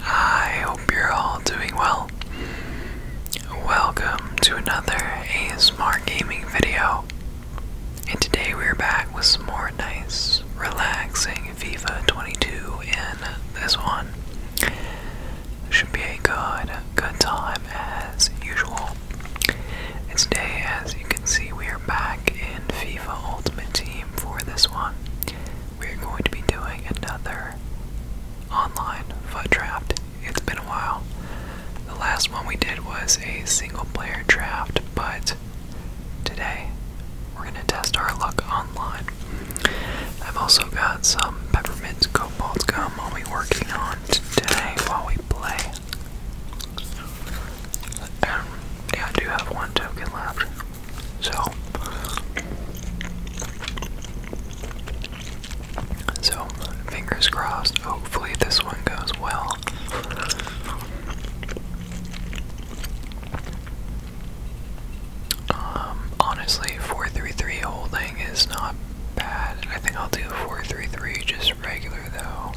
I hope you're all doing well. Welcome to another A Smart gaming video. And today we're back with some more nice, relaxing FIFA 22 in this one. Should be a good, good time as usual. And today, as you can see, we are back in FIFA Ultimate Team for this one. We are going to be doing another online foot draft. It's been a while. The last one we did was a single player draft, but today we're going to test our luck online. I've also got some peppermint cobalt gum I'll be working on today while we play. Um, yeah, I do have one token left. So so, fingers crossed, hopefully, this one goes well. Um, honestly, 433 holding is not bad. I think I'll do 433 just regular though.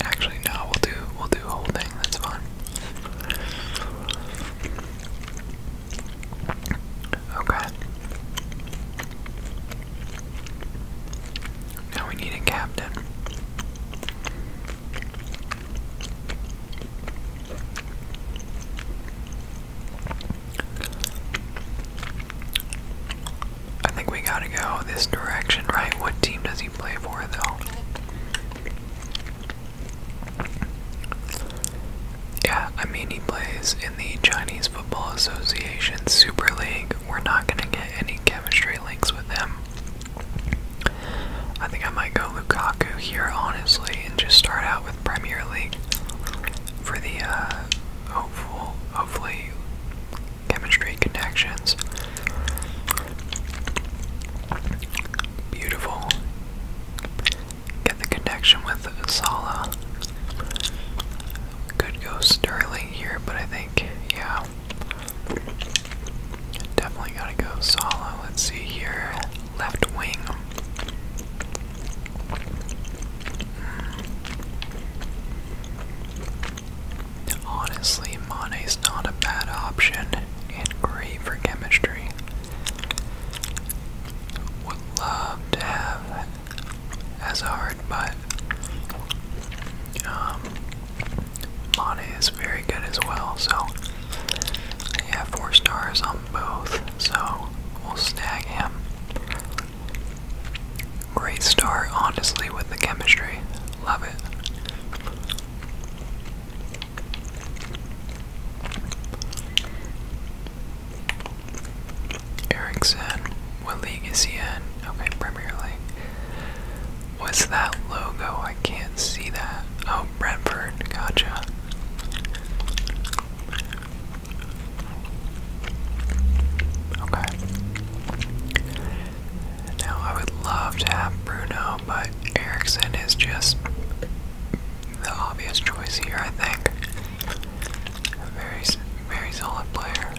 Actually, no. We'll do we'll do whole thing. That's fine. Okay. Now we need a captain. I think we gotta go this direction, right? What team does he play for, though? Yeah, I mean, he plays in the Chinese Football Association Super League. We're not gonna get any chemistry links with him. I think I might go Lukaku here, honestly, and just start out with Premier League for the uh, hopeful lovely chemistry connections. Beautiful. Get the connection with Sala. Could go Sterling here, but I think, yeah. Definitely gotta go Sala. Let's see here. Left wing. Honestly, Mane's not a bad option and great for chemistry. Would love to have as but um, is very good as well. So yeah, four stars on both. So we'll snag him. Great start, honestly, with the chemistry. Love it. Erickson, what league is he in? Okay, Premier League. What's that logo? I can't see that. Oh, Brentford, gotcha. Okay. Now I would love to have Bruno, but Erickson is just the obvious choice here, I think. very, very solid player.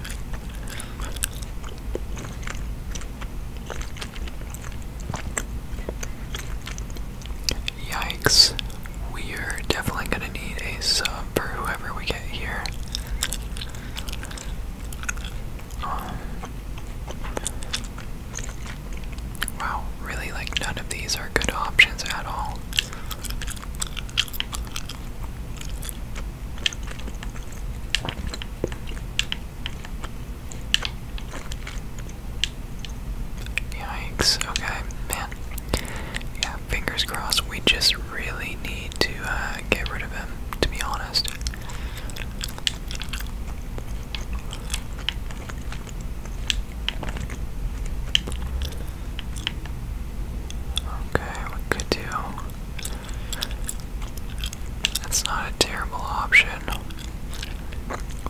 Yikes. We're definitely gonna need a sub for whoever we get here. Um, wow, really, like, none of these are good options at all. Yikes, okay, man yeah, fingers crossed. We just really need to uh, get rid of him, to be honest. Okay, we could do. That's not a terrible option.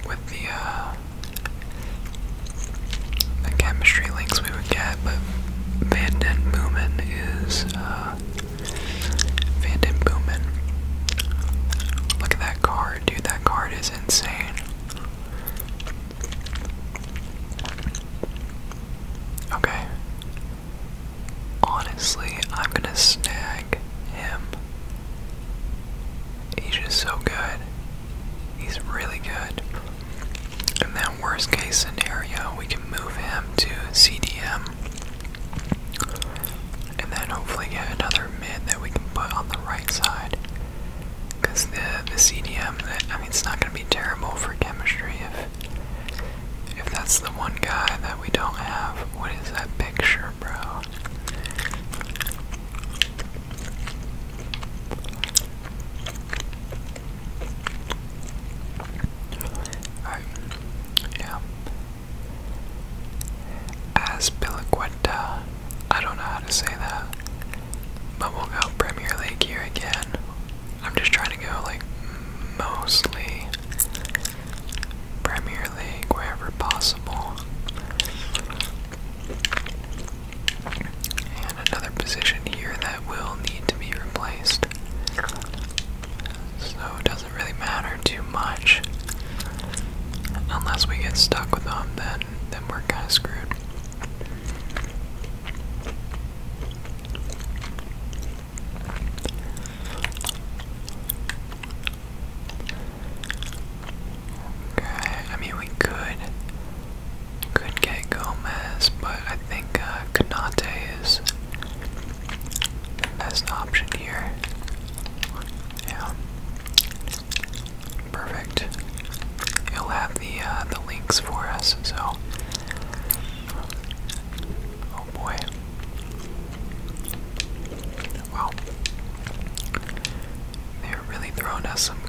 With the uh, the chemistry links we would get, but Van Den Boomen is uh, Van Den Boomen. Look at that card, dude. That card is insane. Okay. Honestly, I'm gonna snag him. He's just so good. He's really good. In that worst case scenario, we can move him to CDM. And then hopefully get another mid that we can put on the right side. Because the, the CDM, I mean, it's not going to be terrible for chemistry if, if that's the one guy that we don't have. What is that picture, bro? I, I don't know how to say that, but we'll go Premier League here again. I'm just trying to go like mostly Premier League wherever possible. And another position here that will need to be replaced. So it doesn't really matter too much. Unless we get stuck with them, then then we're kind of screwed. Okay, I mean we could could get Gomez, but I think uh, Kanate is the best option here. Yeah, perfect. He'll have the uh, the links for us. So, oh boy. Well, there really throwing us some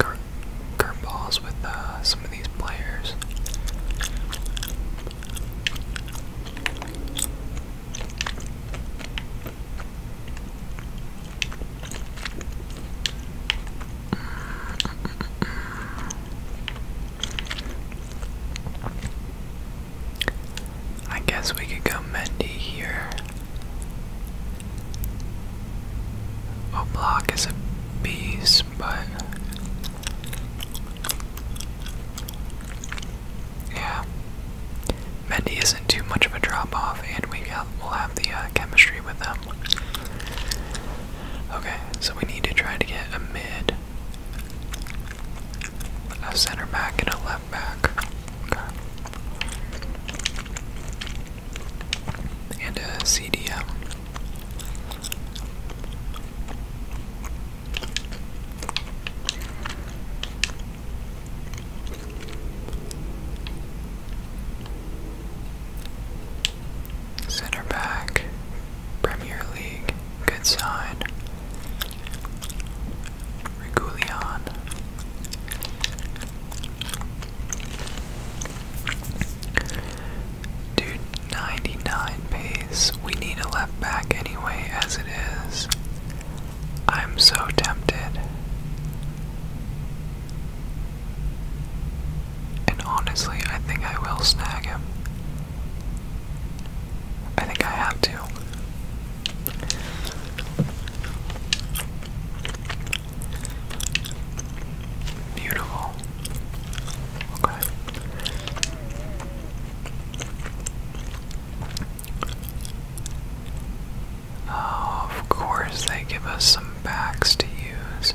curveballs with uh, some of these players. I guess we could go Mendy here. A block is a beast, but yeah, Mendy isn't too much of a drop off, and we got we'll have the uh, chemistry with them. Okay, so we need to try to get a mid, a center back, and a left back. Okay and a CDM. Center back, Premier League, good sign. Regulion. Dude, 99 pace. We need a left back anyway, as it is. I'm so tempted. And honestly, I think I will snag him. I think I have to. Beautiful. Okay. Oh, of course, they give us some backs to use.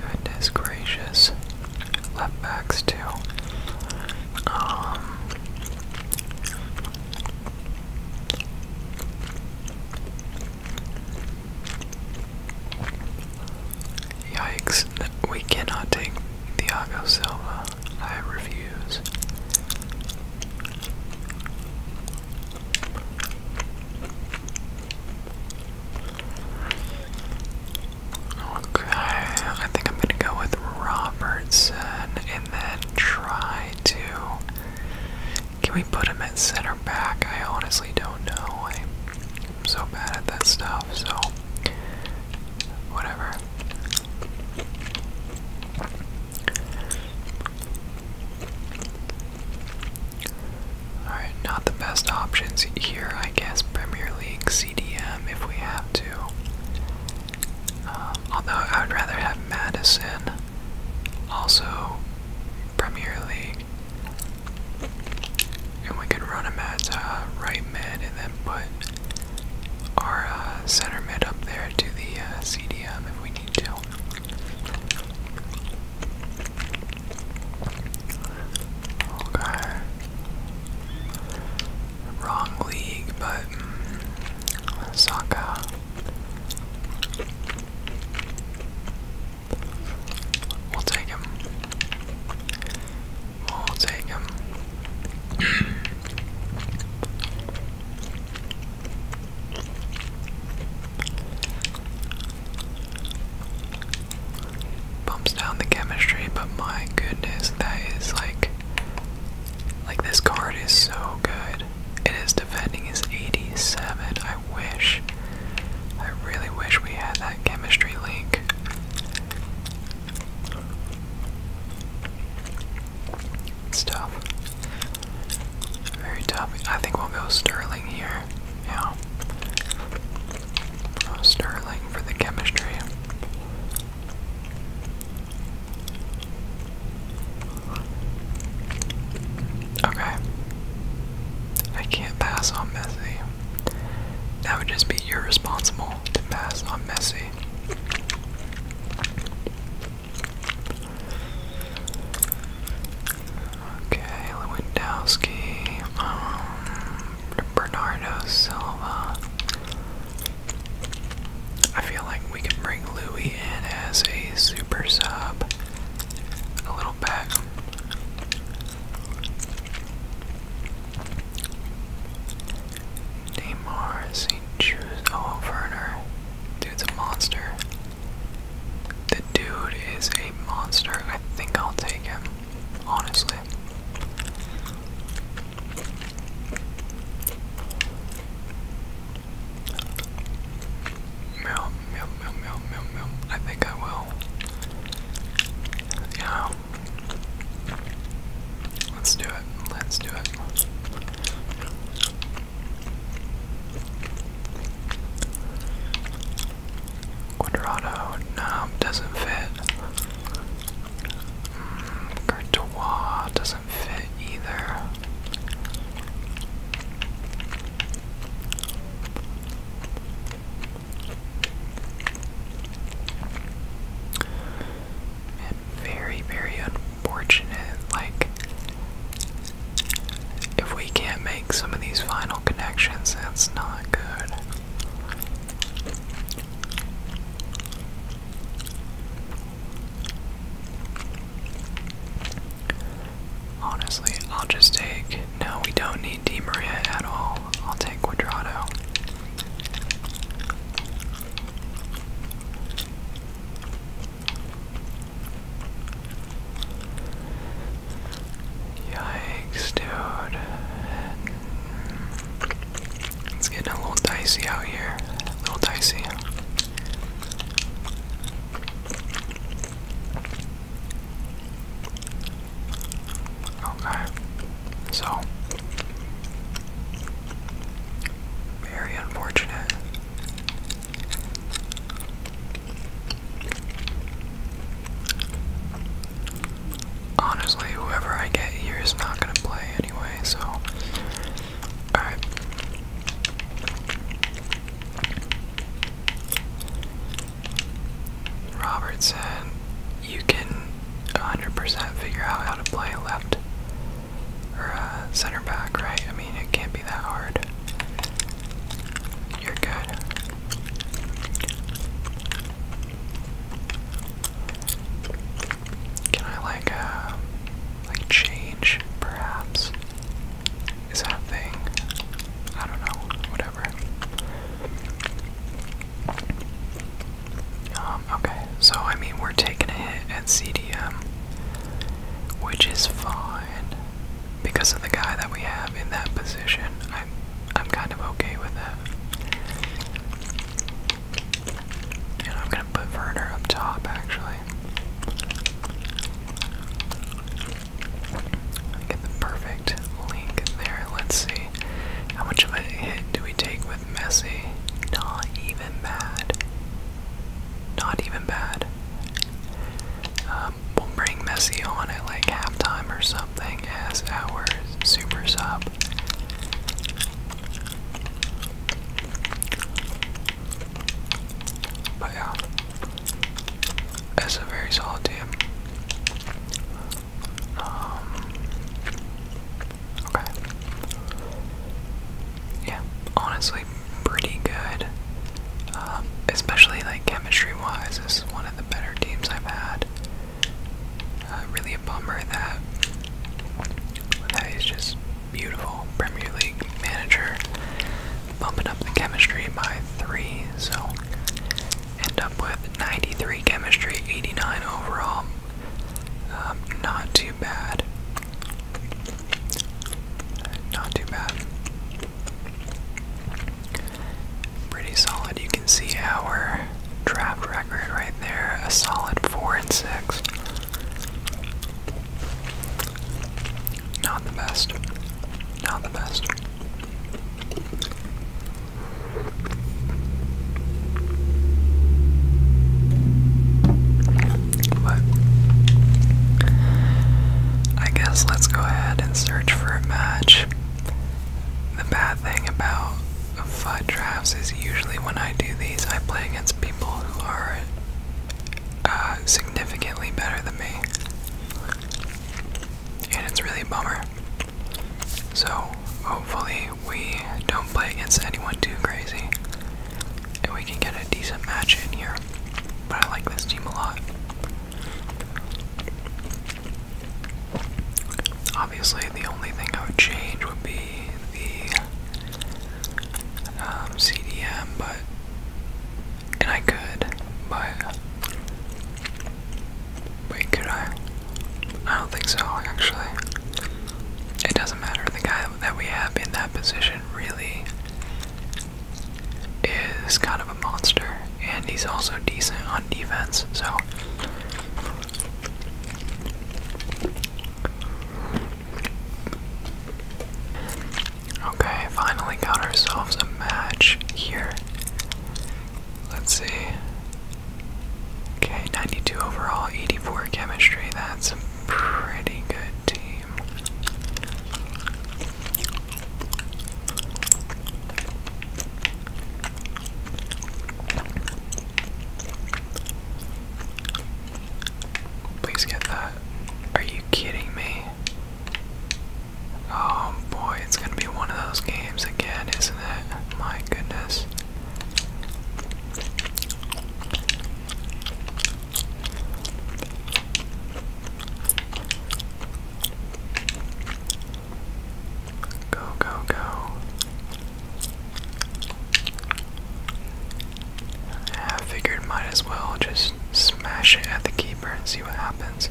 Goodness gracious. Left backs, too. Um. Yikes, we cannot take Thiago Silva. I refuse. Okay, I think I'm gonna go with Robertson and then try to can we put him at center back? I honestly don't know. I'm so bad at that stuff, so whatever. Alright, not the best options here, I guess. Premier League CDM if we have to. Um, although I would rather have Madison. Also, Premier League. And we could run him at uh, right mid and then put our uh, center mid up there to the uh, CDM if we need to. Okay. Wrong league, but mm, We'll take him. We'll take him. Bumps down the chemistry, but my goodness, that is like. Like, this card is so good good. It is defending his 87. I wish. I really wish we had that chemistry link. It's tough. Very tough. I think we'll go Sterling here. Yeah. We'll go Sterling for the chemistry. Okay. I can't pass on Messi. That would just be irresponsible to pass on Messi. Okay, Lewandowski, um, Bernardo Silva, I feel like we can bring Louis in as a super sub a little bit. Neymar, St. Jude, oh Dude's a monster. The dude is a monster. I think I'll take him, honestly. Meow, meow, meow, meow, meow, meow. I think I will. Yeah. Let's do it. Let's do it. Quadrado, no, doesn't fit. Mm, doesn't fit either. And very, very unfortunate. Like, if we can't make some of these final connections, that's not good. Honestly, I'll just take. No, we don't need Di Maria at all. I'll take Quadrato. Yikes, dude. It's getting a little dicey out here. A little dicey. Okay. So very unfortunate. Honestly, whoever I get here is not gonna play anyway, so Alright. Robertson, you can 100% figure out how to play left or uh, center back, right? I mean, it can't be that hard. You're good. Can I like uh, like change perhaps? Is that thing? I don't know. Whatever. Um, okay, so I mean we're taking a hit at CDM, which is fine. Because of the guy that we have in that position, I'm I'm kind of okay with that. I'm gonna put Werner up top actually. Get the perfect link there. Let's see. How much of a hit do we take with Messi? Not even bad. Not even bad. Um, we'll bring Messi on at like halftime or something as our super sub. But yeah, it's a very solid team. Um, okay. Yeah, honestly, pretty good. Um, especially like chemistry-wise, this is one of the better teams I've had. Uh, really a bummer that that is just beautiful. Premier League manager bumping up the chemistry by three, so end up with 93 chemistry, 89 overall. Um, not too bad. Not too bad. Pretty solid. You can see our draft record right there. A solid four and six. Not the best. Not the best. But I guess let's go ahead and search for a match. The bad thing about Five drafts is usually when I do these, I play against people who are uh, significantly better than me. And it's really a bummer. So hopefully we don't play against anyone too crazy. And we can get a decent match in here. But I like this team a lot. Obviously, the only thing I would change would be the CDM, um, but and I could, but wait, could I? I don't think so. Actually, it doesn't matter. The guy that we have in that position really is kind of a monster, and he's also decent on defense. So. Okay, finally got ourselves a match here. Let's see. Okay, 92 overall, 84 chemistry. That's a pretty good team. Please get that. Are you kidding me? Oh boy, it's gonna be one of those games again, isn't it? My goodness. Go, go, go. I figured might as well just smash it at the keeper and see what happens.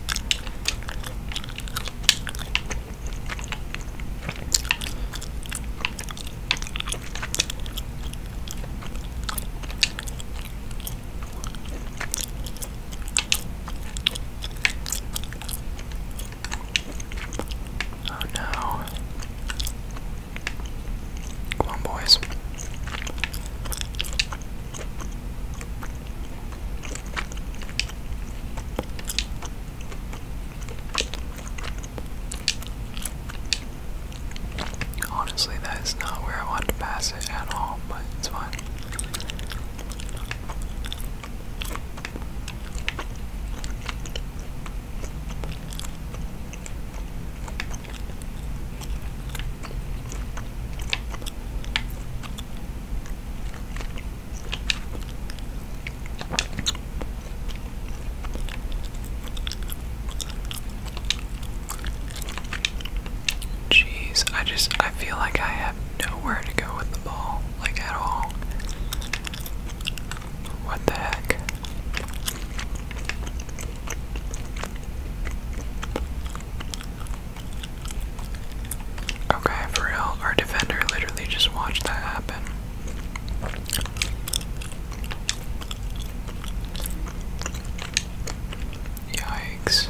Oh no. Come on, boys. Honestly, that is not where I wanted to pass it at all, but it's fine. Jeez, I just I feel like I have nowhere to go with the ball, like at all. What the heck? Okay, for real, our defender literally just watched that happen. Yikes.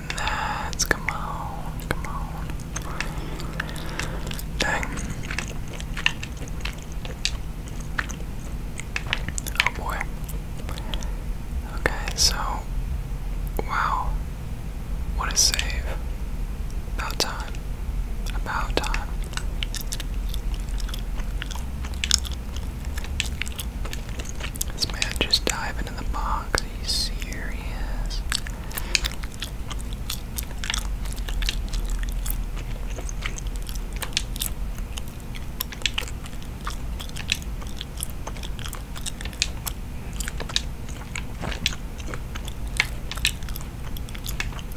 win Come on, come on. Dang. Oh boy. Okay, so. Wow. What a save. About time. About time. This man just diving in the box. Are serious?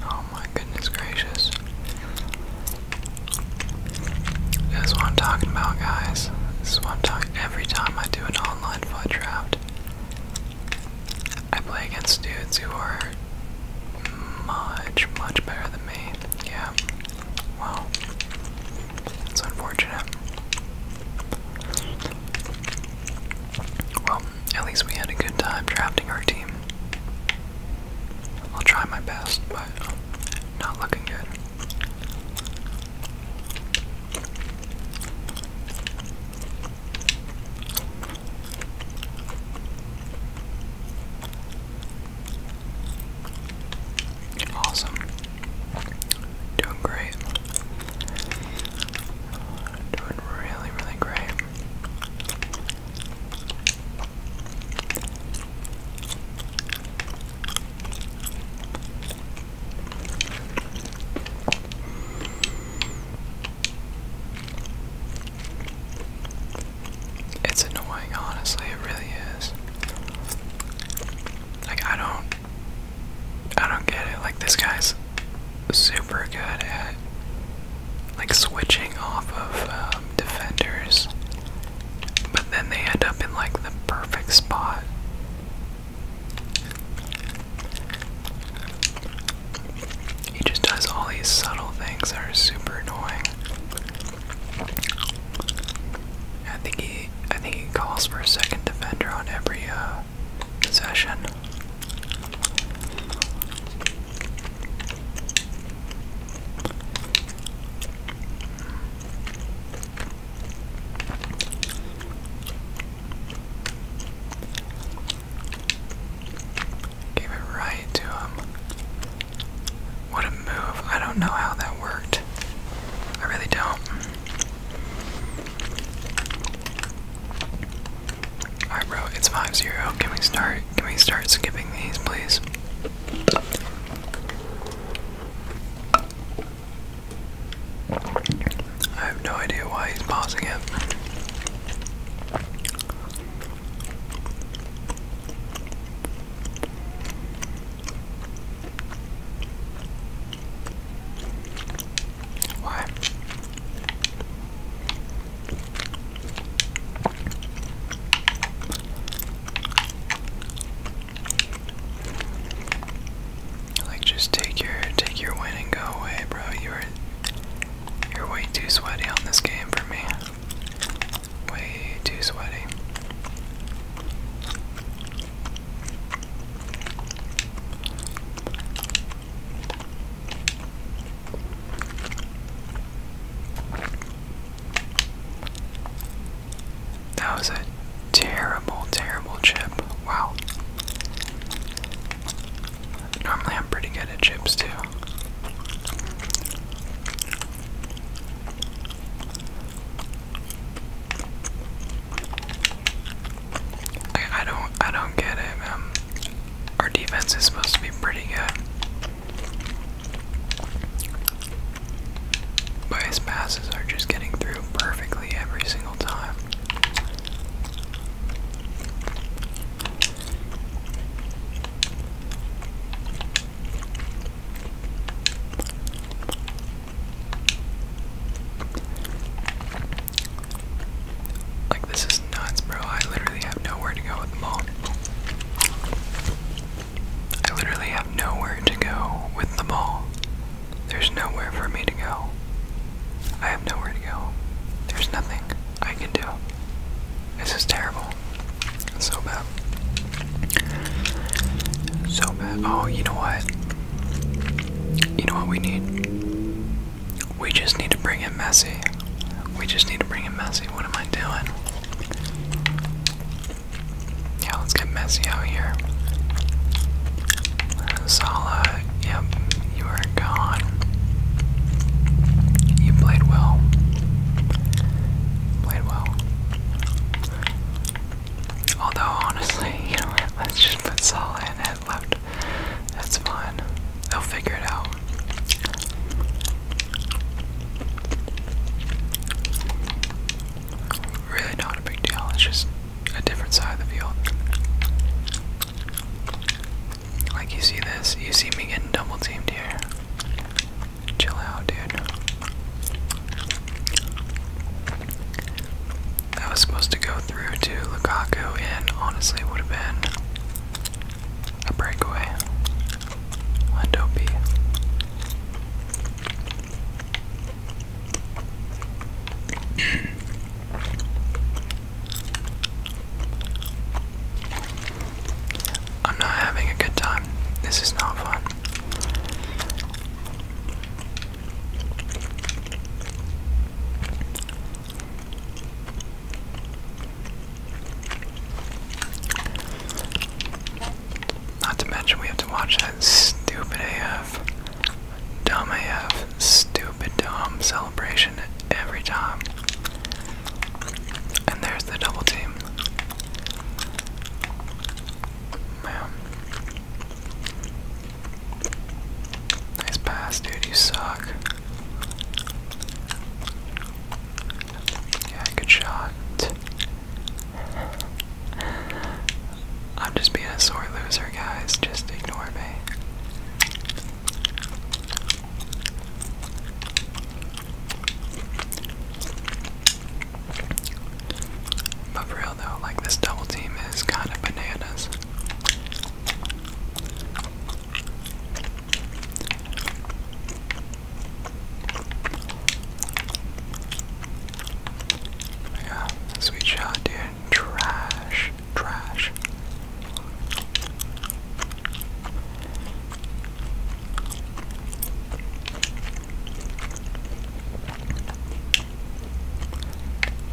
Oh my goodness gracious. This is what I'm talking about, guys. This is what I'm talking every time I do it all online draft. I play against dudes who are much, much better than me. Yeah. Wow. That's unfortunate. Well, at least we had a good time drafting our team. I'll try my best, but not looking good. Awesome. Doing great. Doing really, really great. It's annoying, honestly, it really is. Like I don't I don't get it. Like this guy's super good at like switching off of um, defenders, but then they end up in like the perfect spot he just does all these subtle things that are super annoying. I think he, I think he calls for a second defender on every uh, possession. Gave it right to him. What a move. I don't know how that worked. I really don't. Alright bro, it's 5-0. Can we start can we start skipping these please? I have no idea why he's pausing it. Why? Like just take your take your win and go away, bro. You are you're way too sweaty on this game for me. Way too sweaty. That was a terrible, terrible chip. Wow. Normally I'm pretty good at chips too. I, don't I don't get it. Um, our defense is supposed to be pretty good. But his passes are just getting through perfectly every single time. Like this is nuts, bro. I literally have nowhere to go with the ball. I literally have nowhere to go with the ball. There's nowhere for me to go. I have nowhere to go. There's nothing I can do. This is terrible. so bad. So bad. Oh, you know what? You know what we need? We just need to bring in Messi. We just need to bring in Messi. What am I doing? Yeah, let's get messy out here. Salah, yep, you are gone. You played well. Played well. Although, honestly, you know what? Let's just put Salah in at left. That's fine. They'll figure it out. Really not a big deal, it's just a different side of the field. Like you see this, you see me getting double teamed here. Chill out, dude. That was supposed to go through to Lukaku and honestly would have been a breakaway. Lendo B. I'm not having a good time. This is not fun. Not to mention we have to watch that stupid AF, dumb AF, stupid dumb celebration every time. And there's the double team. Nice pass, dude, you suck. Yeah, good shot. I'm just being a sore loser, guys. Just ignore me. But for real though, like this double team is kind of bananas. Yeah, sweet shot, dude. Trash, trash.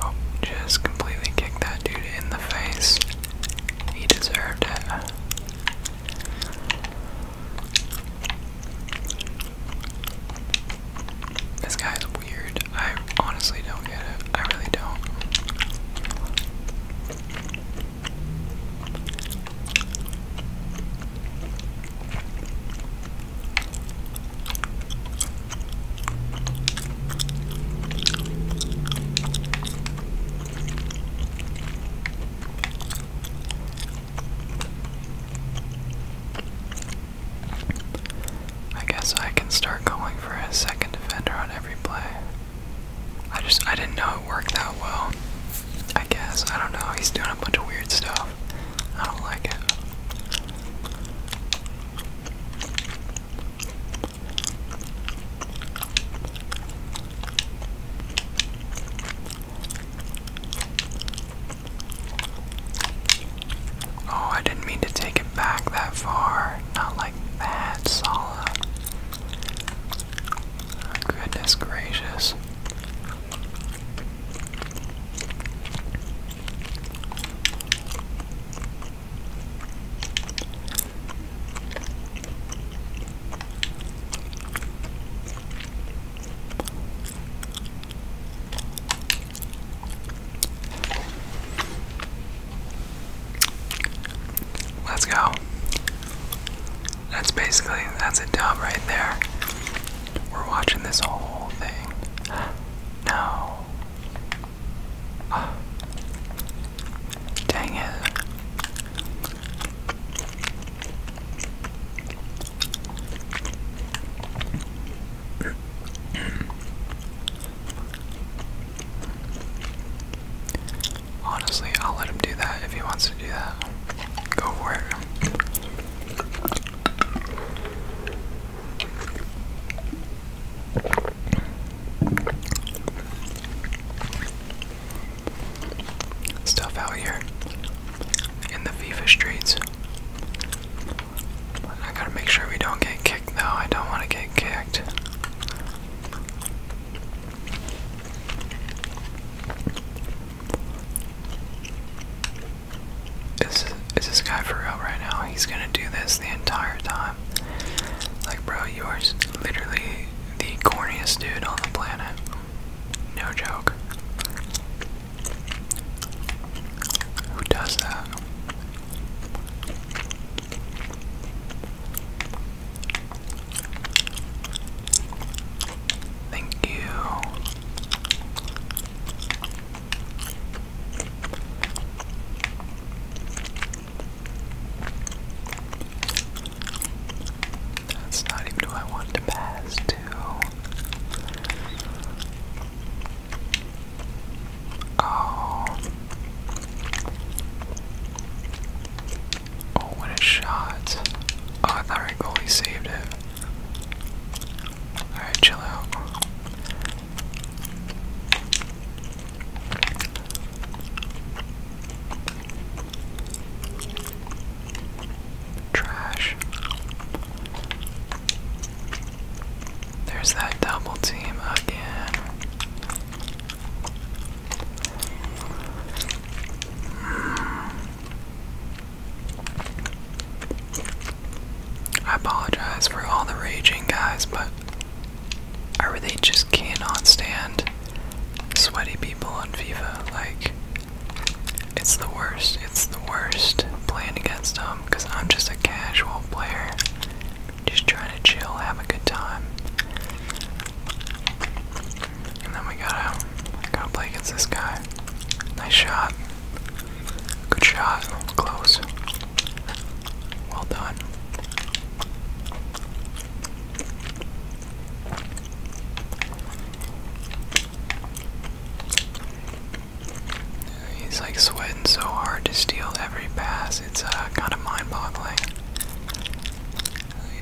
Oh, just completely kicked that dude in the face. He deserved it. This guy's weird. I honestly don't get it. I really don't. I guess I can start going for a second defender on every play. I just I didn't know it worked that well. I guess. I don't know. He's doing a bunch of weird stuff. I don't like it. Oh, I didn't mean to take it back that far. Not like that, Sala. goodness gracious. Let's go. That's basically that's a dub right there. We're watching this whole thing. No. Ah. Dang it. Honestly, I'll let him do that if he wants to do that. Go for it stuff out here in the FIFA streets. I gotta make sure we don't get kicked though. I don't want to get kicked. Is, is this guy for real right now? He's gonna do this the entire time. Like, bro, you are literally the corniest dude on the planet. No joke. Who does that? Thank you. That's not even who I want to pass to. Oh. Oh, what a shot. Oh, I thought our goalie saved it. Alright, chill out. Trash. There's that double team again. I apologize for all the raging, guys, but I really just cannot stand sweaty people on FIFA. Like, it's the worst. It's the worst playing against him because I'm just a casual player. Just trying to chill, have a good time. And then we gotta, got play against this guy. Nice shot. Good shot. Close. Well done. He's like sweating so hard to steal every pass. It's uh, kind of mind-boggling.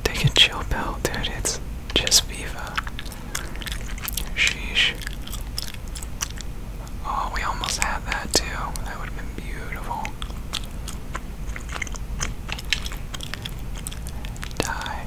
take a chill pill, dude. It's just FIFA. Sheesh. Oh, we almost had that too. That would have been beautiful. Die.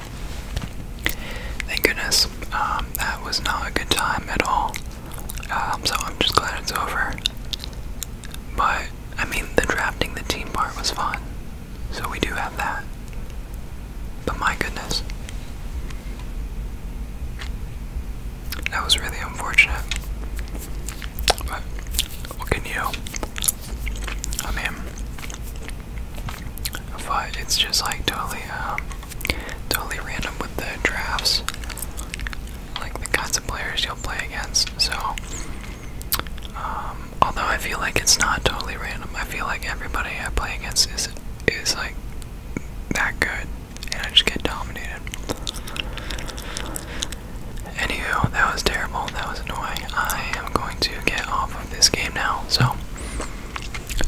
Thank goodness. Um, that was not a good time at all. Um, so I'm just glad it's over. But, I mean, the drafting the team part was fun. So we do have that. But my goodness. That was really unfortunate. But, what can you? I mean, but it's just like totally, um, totally random with the drafts, like the kinds of players you'll play against. So, um, although I feel like it's not totally random, I feel like everybody I play against is is like that good, and I just get dominated. Anywho, that was terrible. That was annoying. I am going to get off of this game now. So,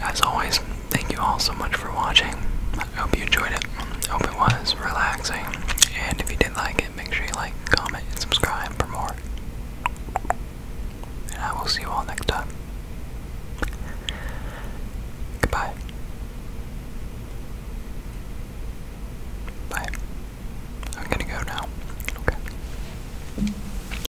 as always, thank you all so much for watching. I hope you enjoyed it. hope it was relaxing. And if you did like it, make sure you like, comment, and subscribe for more. And I will see you all next time. Goodbye. Bye. I'm gonna go now. Okay.